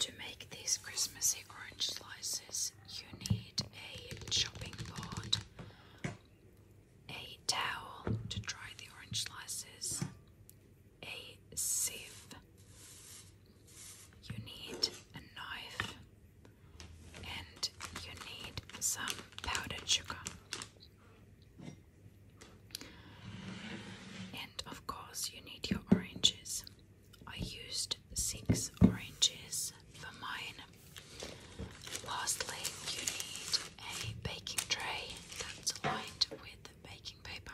To make these Christmassy orange slices, you need a chopping board, a towel to dry the orange slices, a sieve, you need a knife, and you need some powdered sugar. And of course, you need your oranges. I used six oranges for mine. Lastly, you need a baking tray that's lined with baking paper.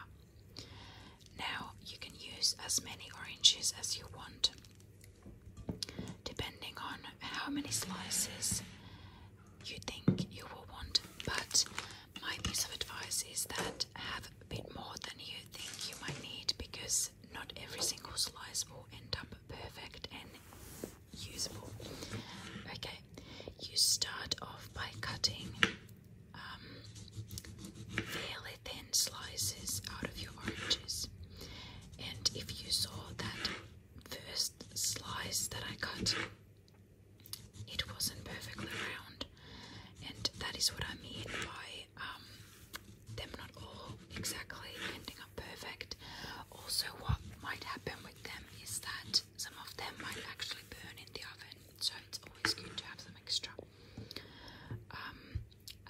Now you can use as many oranges as you want, depending on how many slices you think you will want, but my piece of advice is that have a bit more than you think you might need because not every single slice will end up perfect and usable. Okay, you start off by cutting um, fairly thin slices out of your oranges, and if you saw that first slice that I cut it wasn't perfectly round, and that is what I mean by um, them not all exactly ending up perfect. Also, what might happen with them is that some of them might actually burn in the oven, so it's always good to have some extra. Um,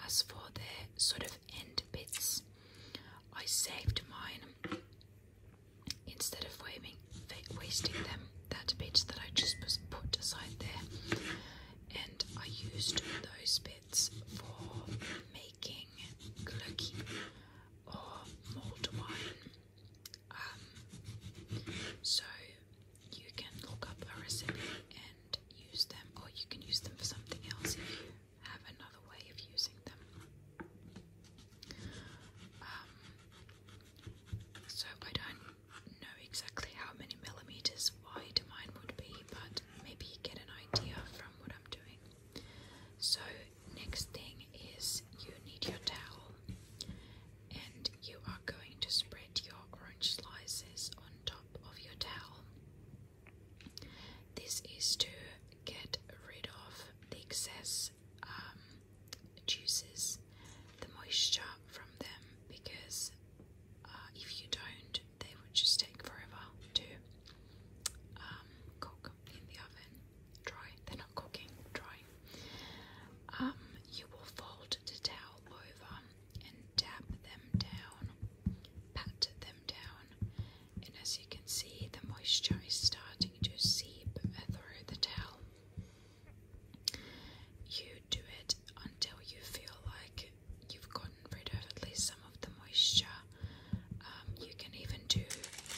as for the sort of end bits, I saved mine instead of waving wasting them, that bit that I just put aside there. And I used those bits for making glucky or mulled wine. Um, so you can look up a recipe and use them, or you can use them for something else if you have another way of using them. Um, so I don't know exactly how many millimeters wide mine would be, but maybe you get an idea from what I'm doing. So, next thing is you need your towel and you are going to spread your orange slices on top of your towel. This is to get rid of the excess um, juices the moisture from them because uh, if you don't, they would just take forever to um, cook in the oven. Dry, they're not cooking, dry. Um, you will fold the towel over and dab them down, pat them down, and as you can see, the moisture is starting to seep through the towel. You do it until you feel like you've gotten rid of at least some of the moisture. Um, you can even do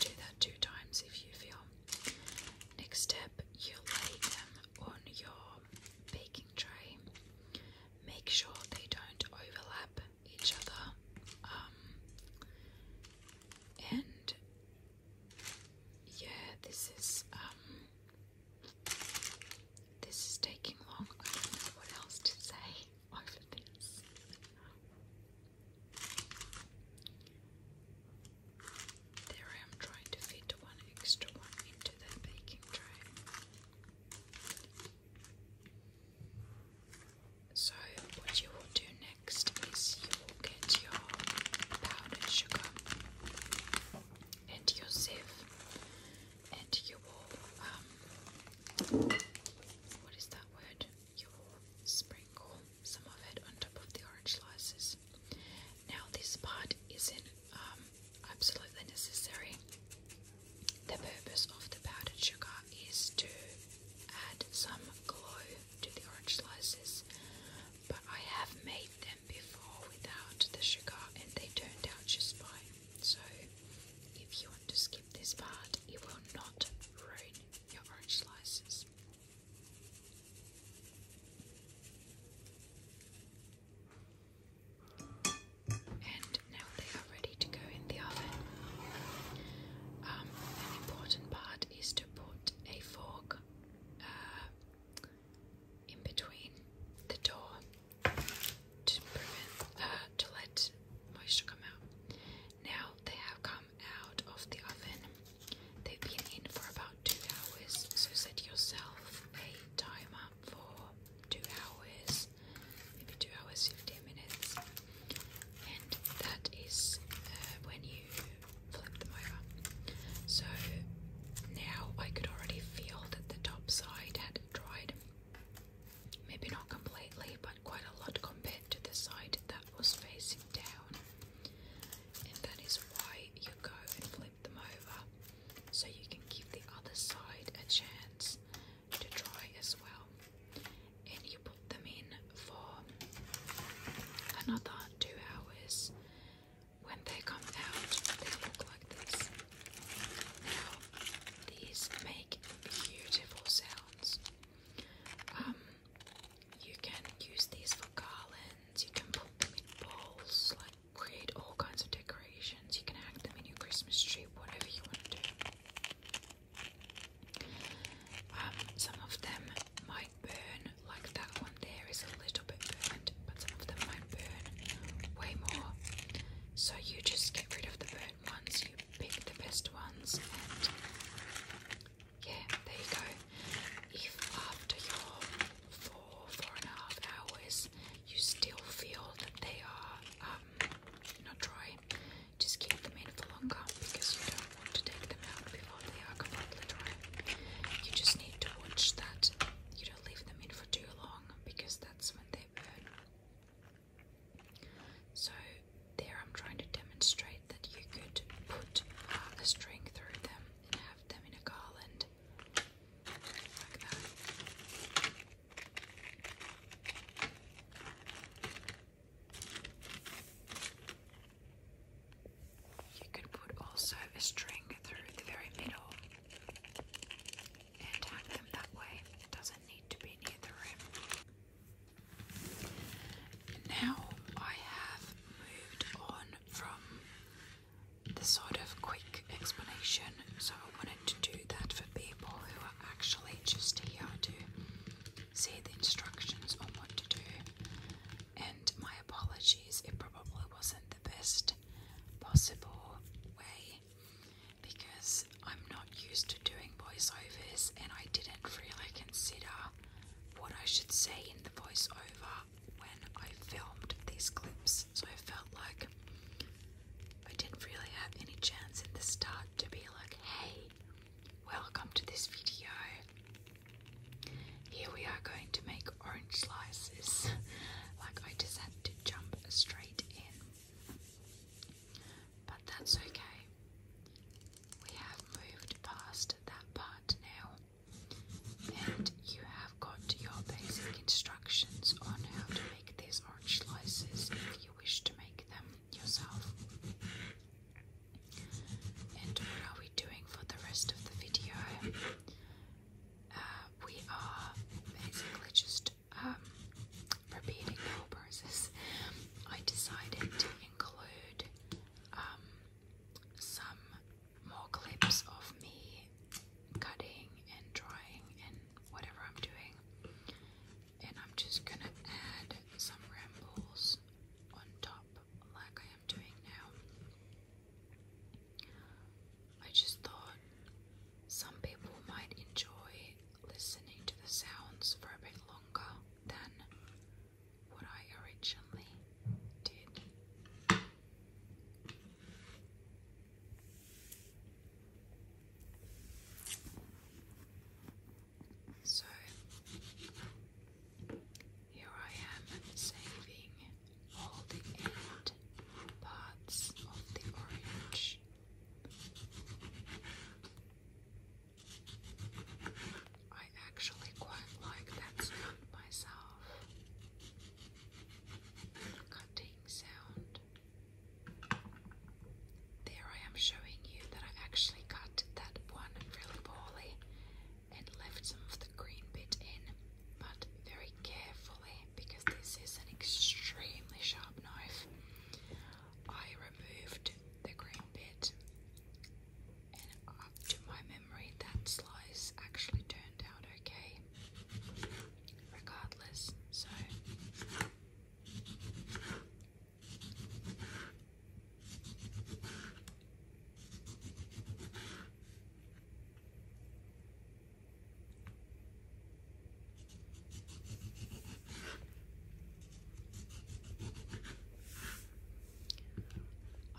do that two times if you feel. Next step, you lay them on your baking tray. Make sure they don't overlap each other. Um, and yeah, this is um this is taking long. I don't know what else to say over this. There I am trying to fit one extra one into that baking tray. So what you will do next is you will get your powdered sugar and your sieve and you will um what is that word? You will sprinkle some of it on top of the orange slices. Now this part isn't um absolutely necessary. The purpose of the powdered sugar is to add some glow to the orange slices. But I have made them before without the sugar and they turned out just fine. So if you want to skip this part, it will not ruin your orange slices. And now they are ready to go in the oven. Um, an important part is to put a fork uh, in between the door to prevent uh, to let moisture come out. Now they have come out of the oven. They've been in for about two hours, so set yourself a timer for two hours, maybe two hours fifteen minutes, and that is uh, when you flip them over. So now I could already feel that the top side had dried. Maybe not completely, but quite a lot compared to the side that was facing down. And that is why you go and flip them over so you can give the other side a chance to dry as well. And you put them in for another two hours. When they come out, they look like this. Now, these make beautiful sounds. Um, you can use these for garlands, you can put them in bowls, like create all kinds of decorations, you can hang them in your Christmas tree, whatever you want to do. Um, some of them my burn, like that one there is a little bit burnt, but some of them might burn way more. So you just get rid of the burnt ones, you pick the best ones, and yeah, there you go. If after your four, four and a half hours you still feel that they are um, not dry, just keep them in for longer because you don't to take them out before they are completely dry. You just need to watch that you don't leave them in for too long because that's when they burn. So there I'm trying to demonstrate that you could put uh, a string through them and have them in a garland like you could put also a string through the very middle and hang them that way. It doesn't need to be near the rim. now I have moved on from the sort of quick explanation, so I wanted to do that for people who are actually just here to See the instructions on what to do. And my apologies, it probably wasn't the best possible way because I'm not used to doing voiceovers and I didn't really consider what I should say in the voiceover when I filmed these clips. So I felt like I didn't really have any chance in the start to be like, hey, Welcome to this video. Here we are going to make orange slices. like I just had to jump straight in. But that's okay. We have moved past that part now. And you have got your basic instructions on how to make these orange slices if you wish to make them yourself. And what are we doing for the rest of the video? Uh, we are basically just um, repeating the process. I decided to include um, some more clips of me cutting and drawing and whatever I'm doing and I'm just going to add some rambles on top, like I am doing now. I just thought some people might enjoy listening to the sounds for a bit longer than what I originally did. So here I am saving all the end parts of the orange. I actually quite like that sound myself. Cutting sound. There I am showing you that I actually cut that one really poorly and left some of the green bit in, but very carefully because this is an extremely sharp knife. I removed the green bit and up to my memory that slice actually turned out okay regardless, so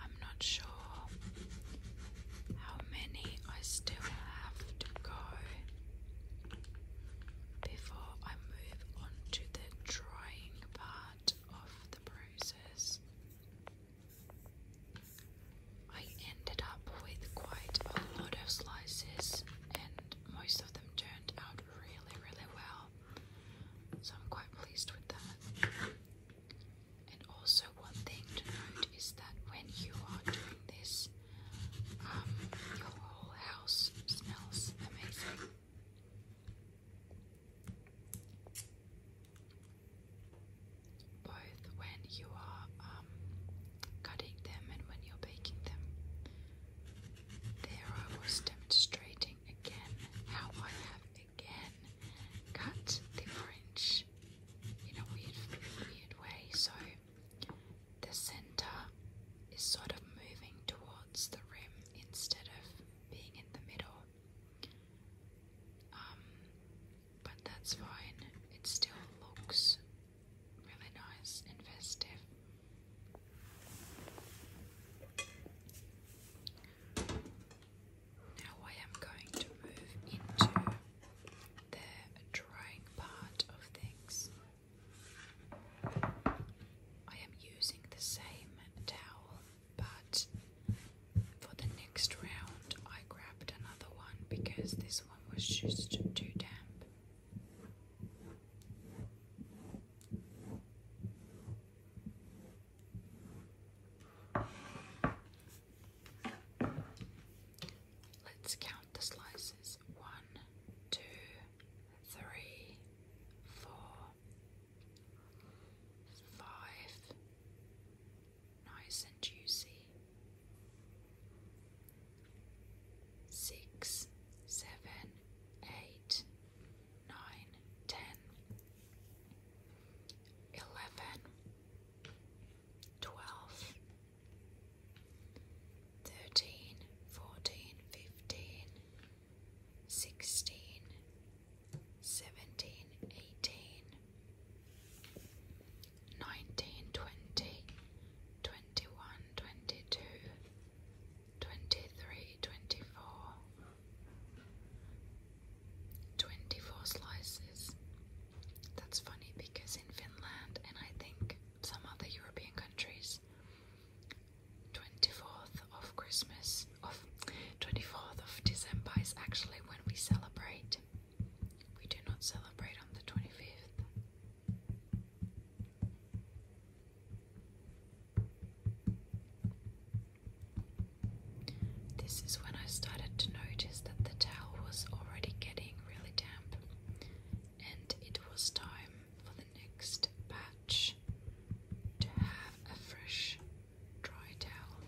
I'm not sure how many I still have to go before I move on to the drying part of the process. I ended up with quite a lot of slices and most of them turned out really really well. So I'm quite pleased with that. And also one thing to note is that when you are doing this, um, your whole house smells amazing both when you are um, cutting them and when you're baking them. There I was demonstrating again how I have again cut the orange in a weird, weird way. So the center is sort of moving towards the rim instead of being in the middle. Um, but that's fine, it still looks really nice and festive. Now I am going to move into the drying part of things. I am using the same towel, but for the next round, I grabbed another one because this one was just too damp. Let's count the slices. One, two, three, four, five. Nice and juicy. Six, seven, eight, nine, ten, eleven, twelve, nineteen, twenty, twenty-one, twenty-two, twenty-three, twenty-four. Twenty-four slices. That's funny because in Finland and I think some other European countries 24th of Christmas, of 24th of December is actually when we celebrate. We do not celebrate on the 25th. This is when I started to notice that the towel was already getting really damp and it was time for the next batch to have a fresh dry towel.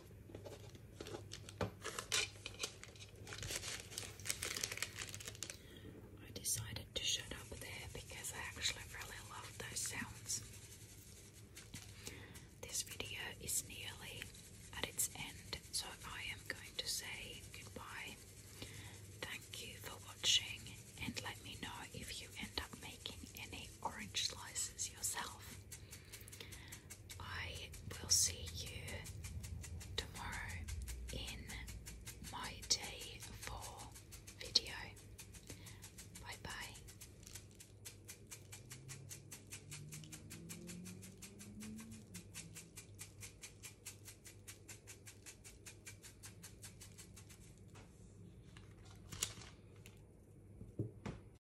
I decided to shut up there because I actually really love those sounds. This video is nearly at its end, so I am going to say goodbye. Thank you for watching, and let me know if you end up making any orange slices yourself. I will see you tomorrow in my day 4 video. Bye bye.